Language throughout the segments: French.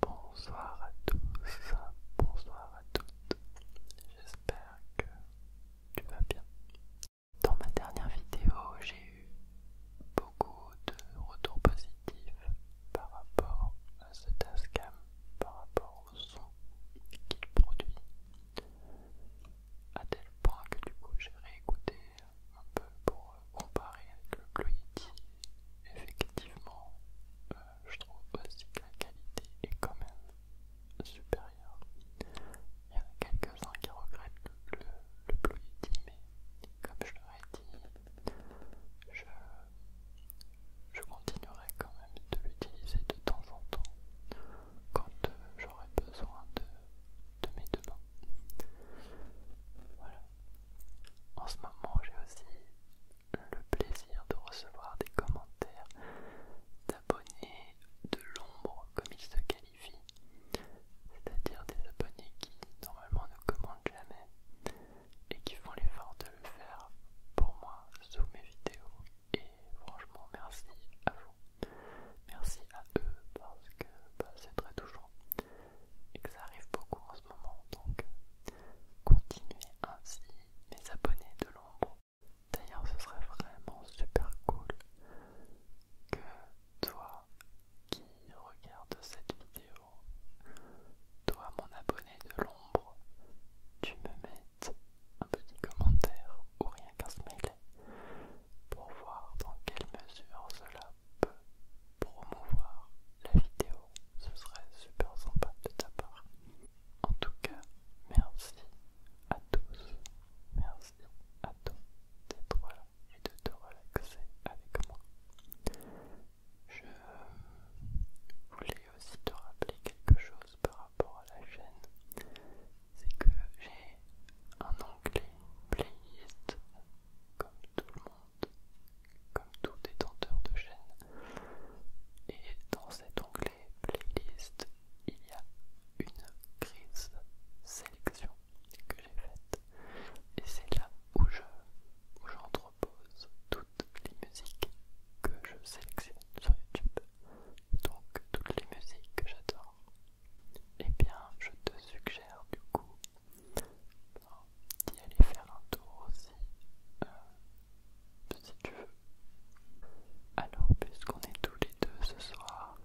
Bonsoir à tous, bonsoir à toutes, j'espère que tu vas bien. Dans ma dernière vidéo, j'ai eu beaucoup de retours positifs par rapport à ce Tascam, par rapport au son qu'il produit, à tel point que du coup j'ai réécouté un peu pour comparer avec le Blue Yeti effectivement, euh, je trouve aussi que la qualité est quand même supérieure. Il y en a quelques-uns qui regrettent le, le, mais comme je leur dit, je, continuerai quand même de l'utiliser de temps en temps quand euh, j'aurai besoin de, de mes deux mains. Voilà, en ce moment j'ai aussi le plaisir de recevoir des commentaires d'abonnés de l'ombre comme ils se qualifient, c'est-à-dire des abonnés qui normalement ne commentent jamais et qui font l'effort de le faire pour moi sous mes vidéos et franchement merci à vous merci à eux parce que bah, c'est très touchant et que ça arrive beaucoup en ce moment, donc continuez ainsi mes abonnés de l'ombre. D'ailleurs, ce serait vraiment super cool que toi qui regardes cette vidéo, toi mon abonné de l'ombre, tu me mettes un petit commentaire ou rien qu'un smiley pour voir dans quelle mesure cela peut promouvoir la vidéo, ce serait super sympa de ta part. En tout cas, merci à tous, merci à toi d'être là et de te relaxer avec moi. Je voulais aussi te rappeler quelque chose par rapport à la chaîne, c'est que j'ai un onglet playlist, comme tout le monde comme tout détenteur de chaîne. Et dans cet onglet playlist, il y a une crise sélection que j'ai faite. Et c'est là où j'entrepose je, toutes les musiques que je sélectionne sur YouTube. Donc toutes les musiques que j'adore. Eh bien, je te suggère du coup d'y aller faire un tour aussi, euh, si tu veux. Alors, puisqu'on est tous les deux ce soir,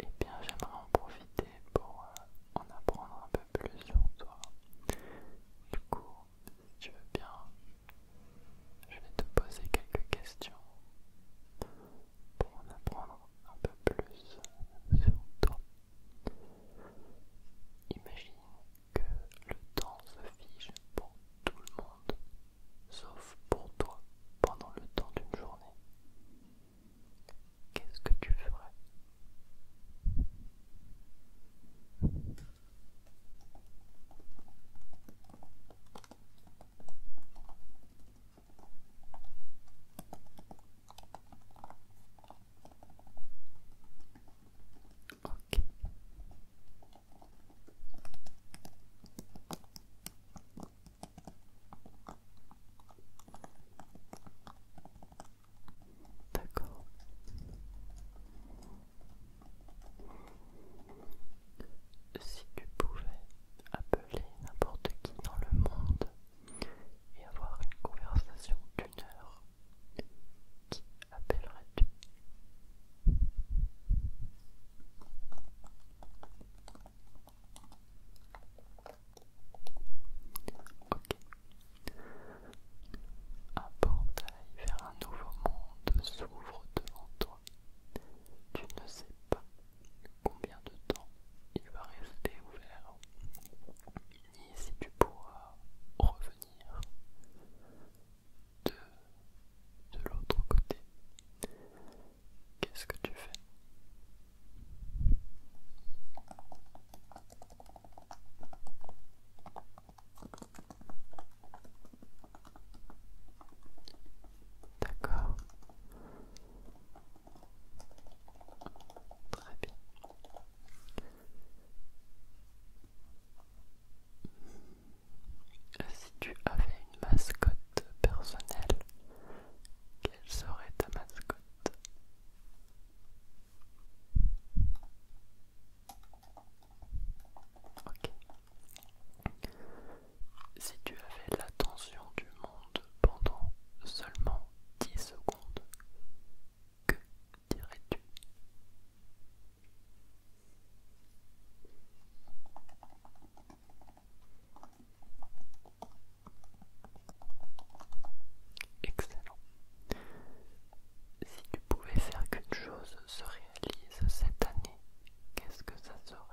et eh bien, j'aimerais en profiter pour euh, en apprendre un peu plus sur toi. Du coup, si tu veux bien, je vais te poser quelques questions pour en apprendre un peu plus sur toi. Imagine que le temps se fige pour tout le monde, sauf pour toi pendant le temps d'une journée. Qu'est-ce que tu ferais D'accord. Si tu pouvais appeler n'importe qui dans le monde et avoir une conversation d'une heure qui appellerais-tu Ok. Un portail vers un nouveau monde s'ouvre devant toi. Tu ne sais pas combien de temps il va rester ouvert, ni si tu pourras revenir de, de l'autre côté. Qu'est-ce que tu fais D'accord. Très si tu avais une mascotte personnelle, quelle serait ta mascotte Si tu avais l'attention du monde pendant seulement 10 secondes, que dirais-tu Excellent. Si tu pouvais faire quelque chose se réalise cette année, qu'est-ce que ça serait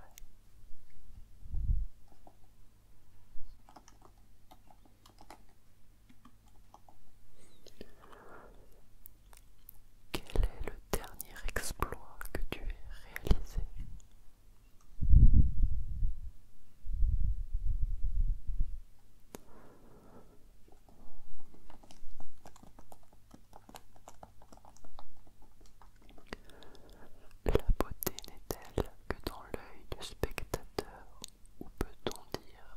quel est le dernier exploit que tu aies réalisé La beauté n'est-elle que dans l'œil du spectateur ou peut-on dire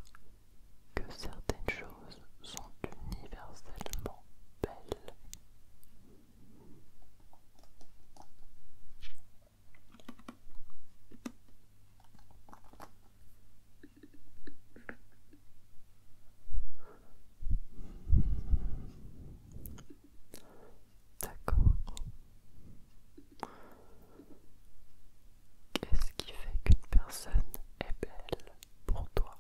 que certaines choses sont universellement belles. D'accord. Qu'est-ce qui fait qu'une personne est belle pour toi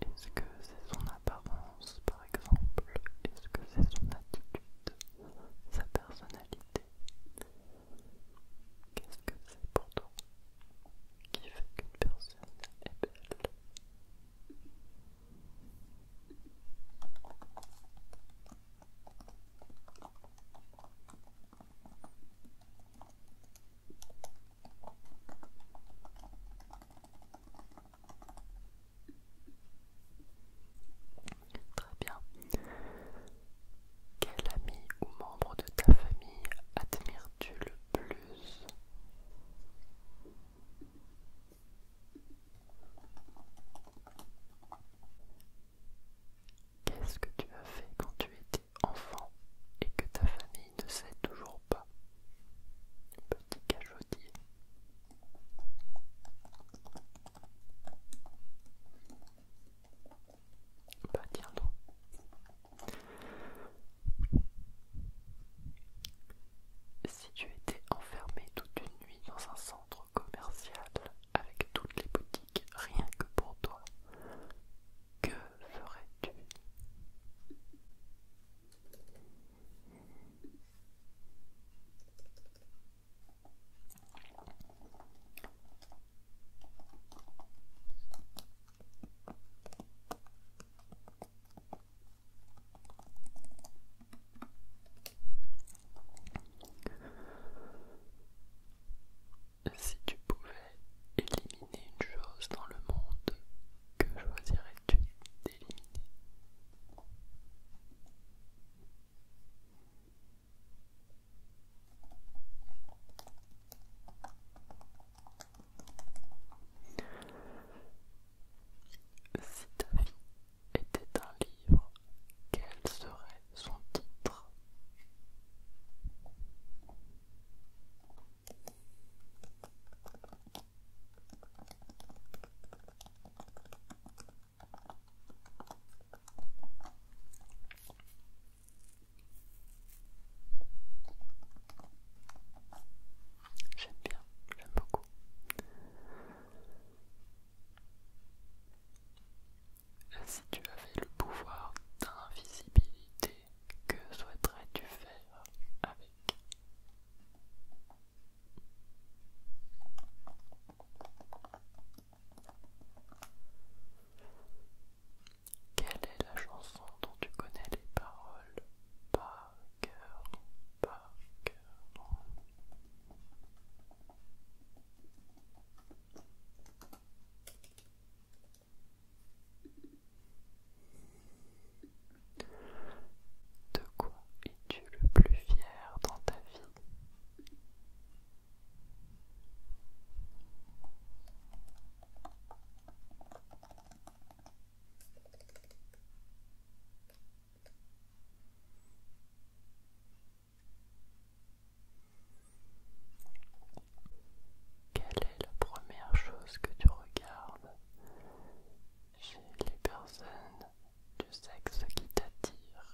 Est-ce que c'est son apparence par exemple Est-ce que c'est son attitude Sa personnalité Qu'est-ce que c'est pour toi qui fait qu'une personne est belle Très bien. Quel ami ou membre de ta famille admires-tu le plus Qu'est-ce que tu as fait quand tu étais enfant et que ta famille ne sait toujours pas Petit cachotier. Bah tiens donc. Si tu étais enfermé toute une nuit dans un centre commercial avec toutes les boutiques rien que pour toi, que ferais-tu si tu pouvais éliminer une chose dans le monde, que choisirais-tu d'éliminer Si ta vie était un livre, quelle serait son titre. J'aime bien, j'aime beaucoup. Si tu avais le pouvoir d'invisibilité, que souhaiterais-tu faire avec Quelle est la chanson dont tu connais les paroles par cœur, par cœur de quoi es-tu le plus fier dans ta vie quelle est la première chose que tu regardes chez les personnes du sexe qui t'attire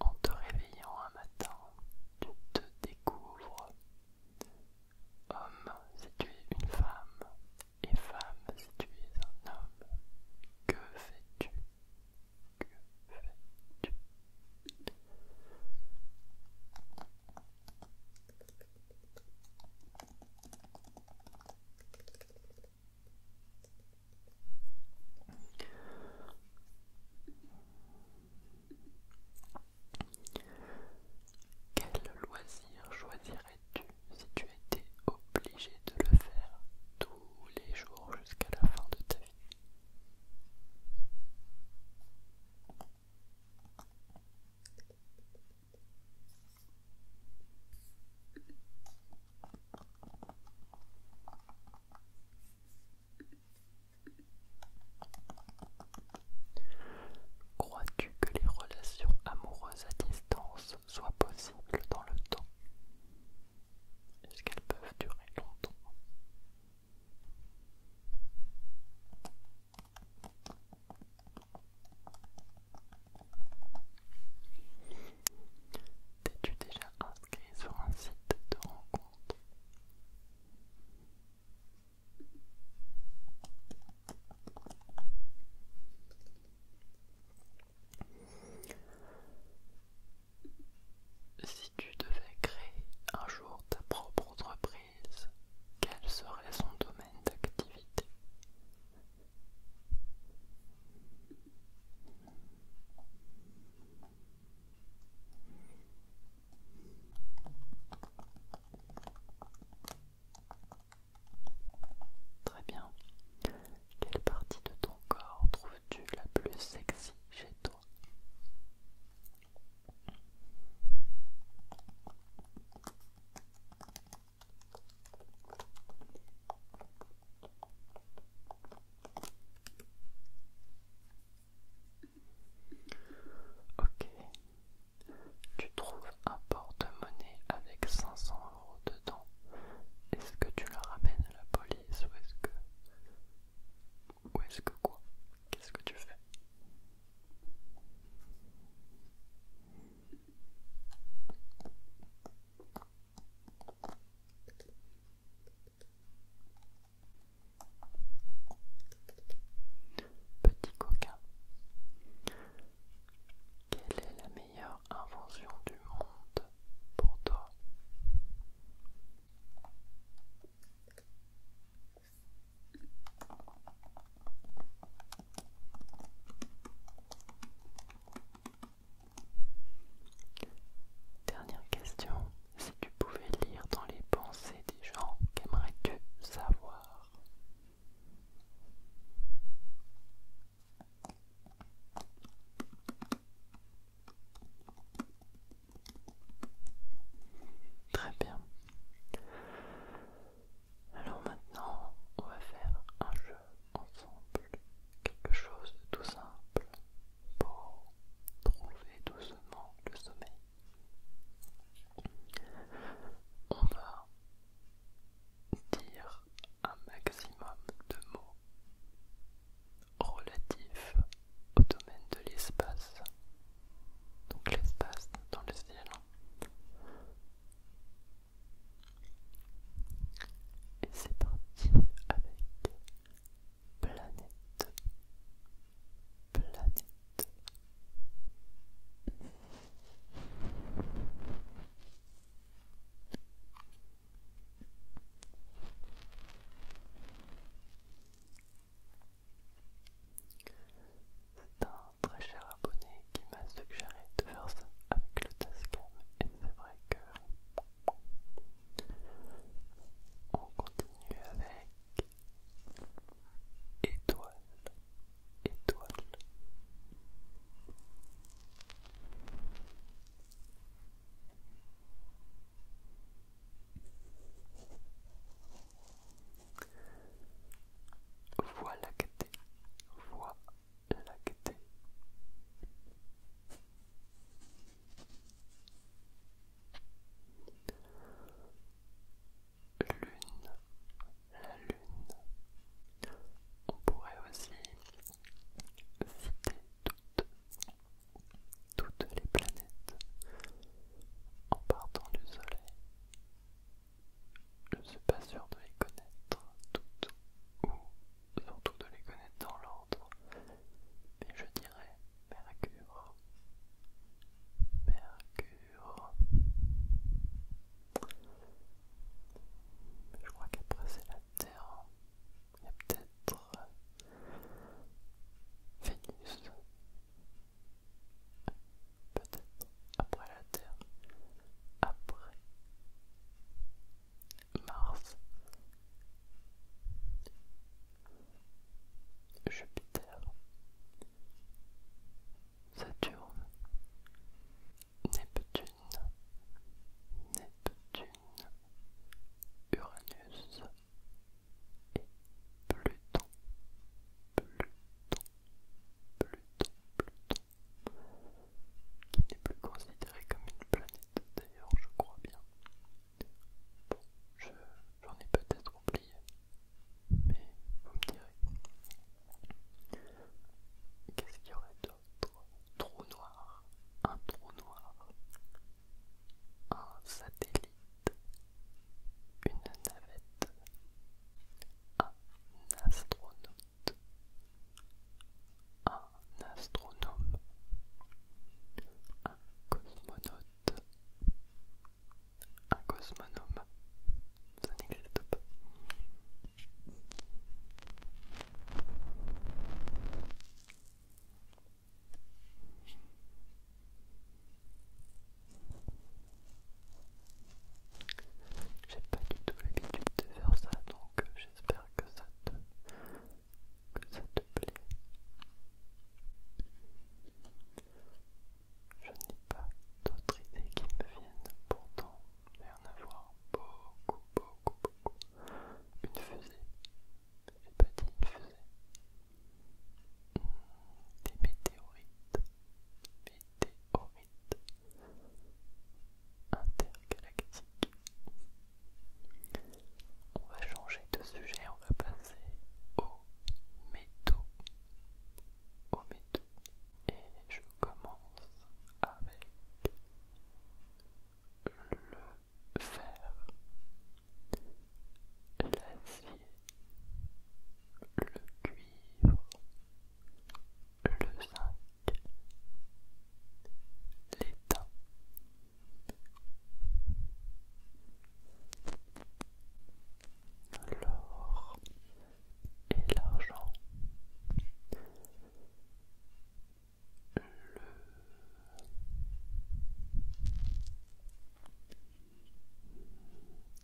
en te réveillant un matin, tu te découvres homme si tu es une femme et femme si tu es un homme. Que fais-tu Que fais-tu quel loisir choisirais-tu si tu étais obligé de le faire tous les jours jusqu'à la fin de ta vie Crois-tu que les relations amoureuses à distance soient possibles dans le temps Est-ce qu'elles peuvent durer longtemps T'es-tu déjà sur un site de rencontre. Si tu devais créer un jour ta propre entreprise, quel serait son domaine d'activité Très bien. Quelle partie de ton corps trouves-tu la plus sexy chez toi Ok, tu trouves un porte-monnaie avec 500 euros dedans. Est-ce que tu le ramènes à la police ou est-ce que. Ou est-ce que quoi Qu'est-ce que tu fais Petit coquin. Quelle est la meilleure invention du monde pour toi Dernière question, si tu pouvais lire dans les pensées des gens, qu'aimerais-tu savoir Très bien. Alors maintenant, on va faire un jeu ensemble, quelque chose de tout simple pour trouver doucement le sommeil. On va dire un maximum de mots relatifs au domaine de l'espace. Donc l'espace dans le ciel. Et c'est parti avec planète, planète. C'est un très cher abonné qui m'a suggéré de faire ça avec le Tascam et c'est vrai que on continue avec étoile, étoile. Voie lactée, voie lactée. Lune, la lune. On pourrait aussi citer toutes, toutes les planètes en partant du Soleil. Je ne suis pas sûr de les connaître toutes ou surtout de les connaître dans l'ordre. Et je dirais Mercure. Mercure. Je crois qu'après c'est la Terre. Il y a peut-être euh, Vénus. Peut-être après la Terre. Après Mars, Jupiter, Saturne, Neptune, Neptune, Uranus et Pluton, Pluton, Pluton, Pluton, qui n'est plus considéré comme une planète d'ailleurs, je crois bien. Bon, j'en ai peut-être oublié, mais vous me direz. Qu'est-ce qu'il y aurait d'autre Trou noir, un trou noir, un satellite, une navette, un astronaute, un un astronome, un cosmonaute, un cosmonome, ça n'existe pas. J'ai pas du tout l'habitude de faire ça, donc euh, j'espère que ça te que ça te plaît. Je n'ai pas d'autres idées qui me viennent, pourtant il y en avoir beaucoup, beaucoup, beaucoup. Une fusée, une pas fusée. Des météorites, météorites intergalactiques, on va changer de sujet, on va passer aux métaux. au métaux. Et je commence avec le fer, l'acier, le cuivre, le zinc, l'étain, l'or et l'argent, le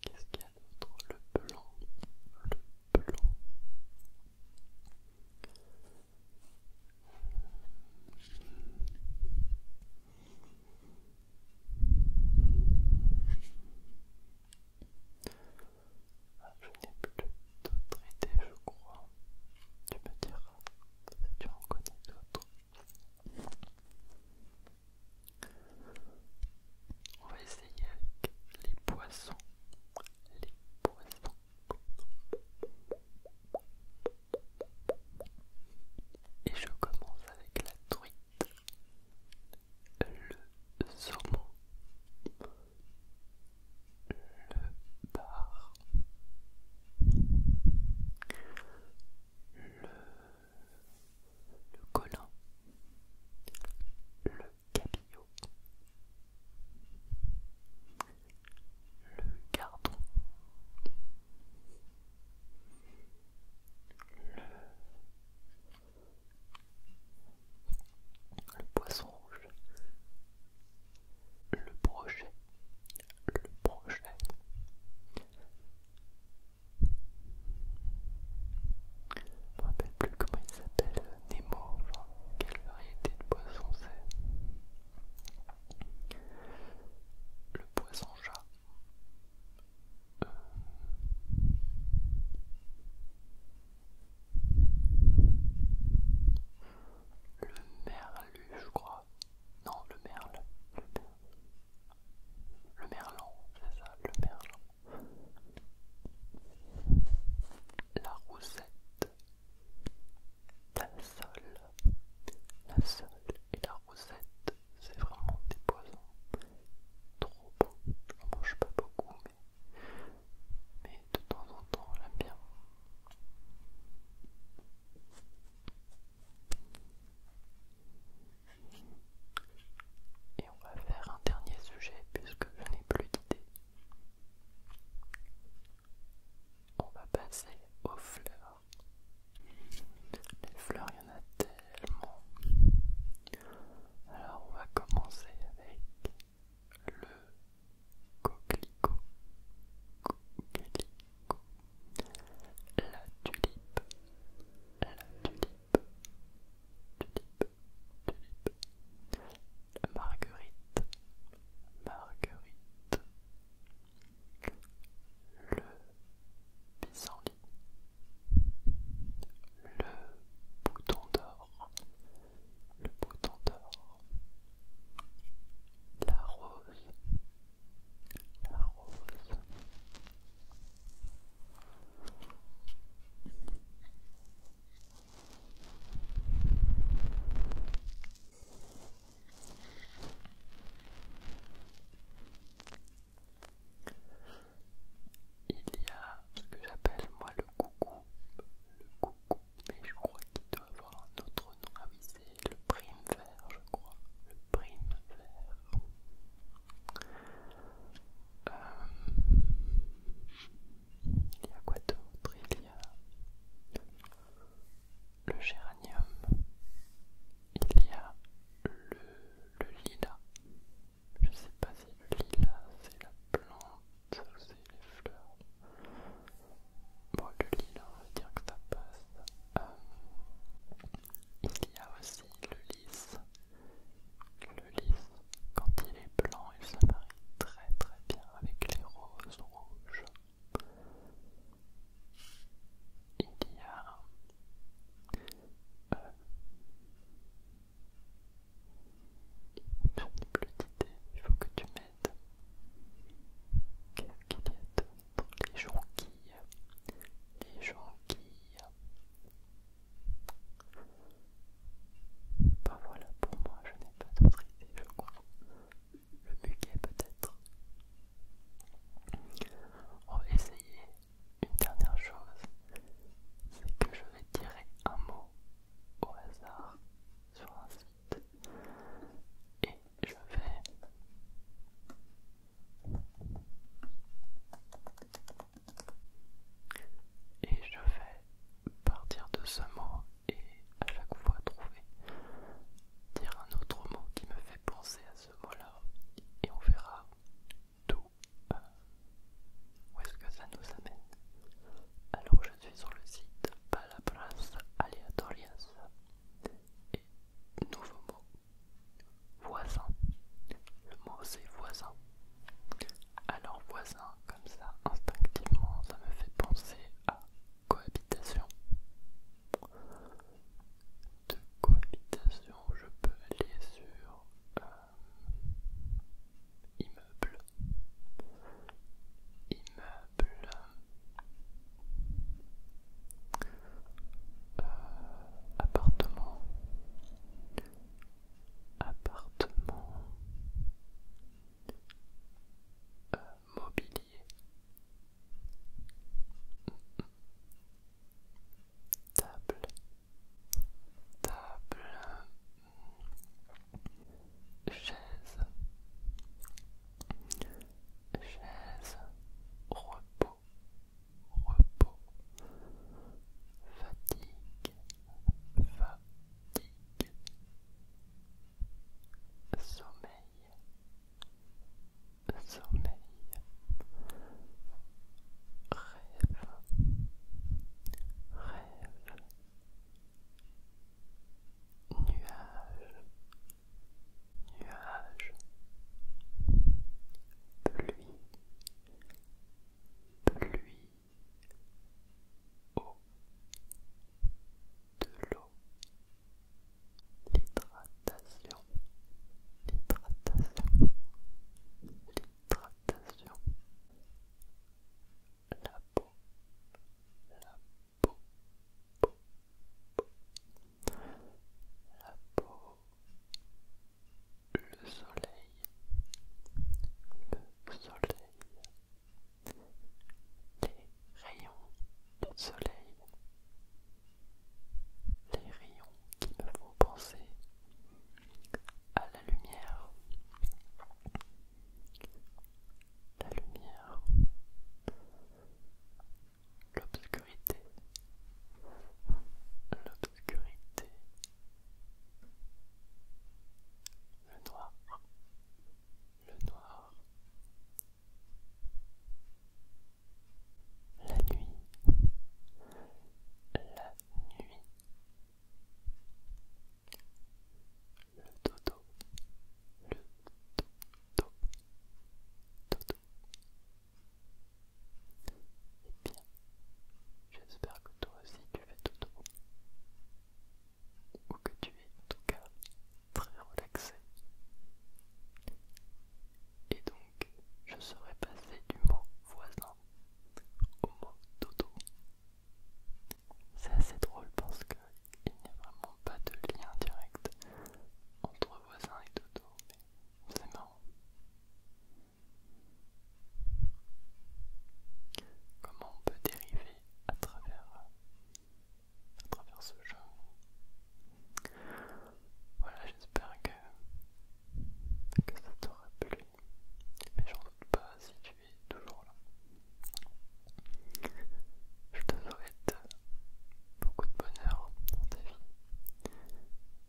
qu'est-ce qu'il y a d'autre Le blanc, le blanc, ah, je n'ai plus d'autres idées, je crois. Tu me diras, si tu en connais d'autres. On va essayer avec les poissons. Les poissons. Et je commence avec la truite, le saumon, le bar, le, le colin, le cabillaud, le gardon, le, le poisson rouge, le projet, le projet. Je me rappelle plus comment il s'appelle, euh, Nemo, enfin, quelle variété de poisson c'est. Le poisson-chat. Euh. Le merlu, je crois. Non, le merle. Le, merlant, merlan, c'est ça, le merlan. La roussette la sol, la sole et la rosette, c'est vraiment des poisons trop beaux. mange pas beaucoup, mais, mais de temps en temps, on l'aime bien. Et on va faire un dernier sujet puisque je n'ai plus d'idée. On va passer aux fleurs. Les fleurs, il y en a tellement. Alors on va commencer avec le coquelicot. Coquelicot. La tulipe. La tulipe. Tulipe. La marguerite. Marguerite le pissenlit, le bouton d'or, le bouton d'or, la rose, la rose. Il y a ce que j'appelle moi le coucou. Le coucou, mais je crois qu'il doit avoir un autre nom. Ah oui, c'est le prime vert, je crois. Le prime vert. Euh, il y a quoi d'autre Il y a le géranium, il y a le, lila lilas. Je sais pas si le lilas c'est la plante ou c'est les fleurs. Bon, le lilas, on va dire que ça passe. Euh, il y a aussi le lys. Le lys, quand il est blanc, il se marie très très bien avec les roses rouges il y a je n'ai plus d'idées, il faut que tu m'aides. Qu'est-ce qu'il y a d'autre Les qui, Les qui, Ben voilà, pour moi, je n'ai pas d'autres idées, je crois le muguet peut-être. On va essayer une dernière chose, c'est que je vais tirer un mot au hasard sur un site et je vais et je vais partir de ce mot et à chaque fois trouver dire un autre mot qui me fait penser à ce mot-là et on verra d'où euh, où est-ce que ça nous amène. Alors je suis sur le site Palabras Aleatorias et nouveau mot voisin. Le mot c'est voisin. Alors voisin comme ça instinctivement ça me fait penser à cohabitation. De cohabitation, je peux aller sur euh, immeuble, immeuble, euh, appartement, appartement. Euh, mobilier Table. Table. Chaise. Chaise. Repos. Repos. Fatigue. Fatigue. Sommeil soleil, rêve, rêve, nuage, nuage, pluie, pluie, eau, de l'eau, l'hydratation, l'hydratation, l'hydratation, la peau, la peau, la peau, la peau, le soleil, le soleil, rayons de soleil, les rayons qui me font penser à la lumière, la lumière, l'obscurité, l'obscurité, le noir, le noir, la nuit, la nuit, le dodo, le dodo, dodo. Eh bien, j'espère que toi aussi tu es dodo, ou que tu es en tout cas très relaxé. Et donc, je serais passé du mot voisin au mot dodo. C'est assez drôle parce qu'il n'y a vraiment pas de lien direct entre voisin et dodo, mais c'est marrant. Comment on peut dériver à travers à travers ce jeu. Voilà, j'espère que, ça t'aura plu. Mais j'en doute pas si tu es toujours là. Je te souhaite beaucoup de bonheur dans ta vie.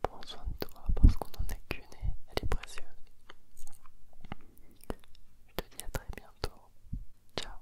Prends soin de toi parce qu'on n'en est qu'une et elle est précieuse. Je te dis à très bientôt. Ciao.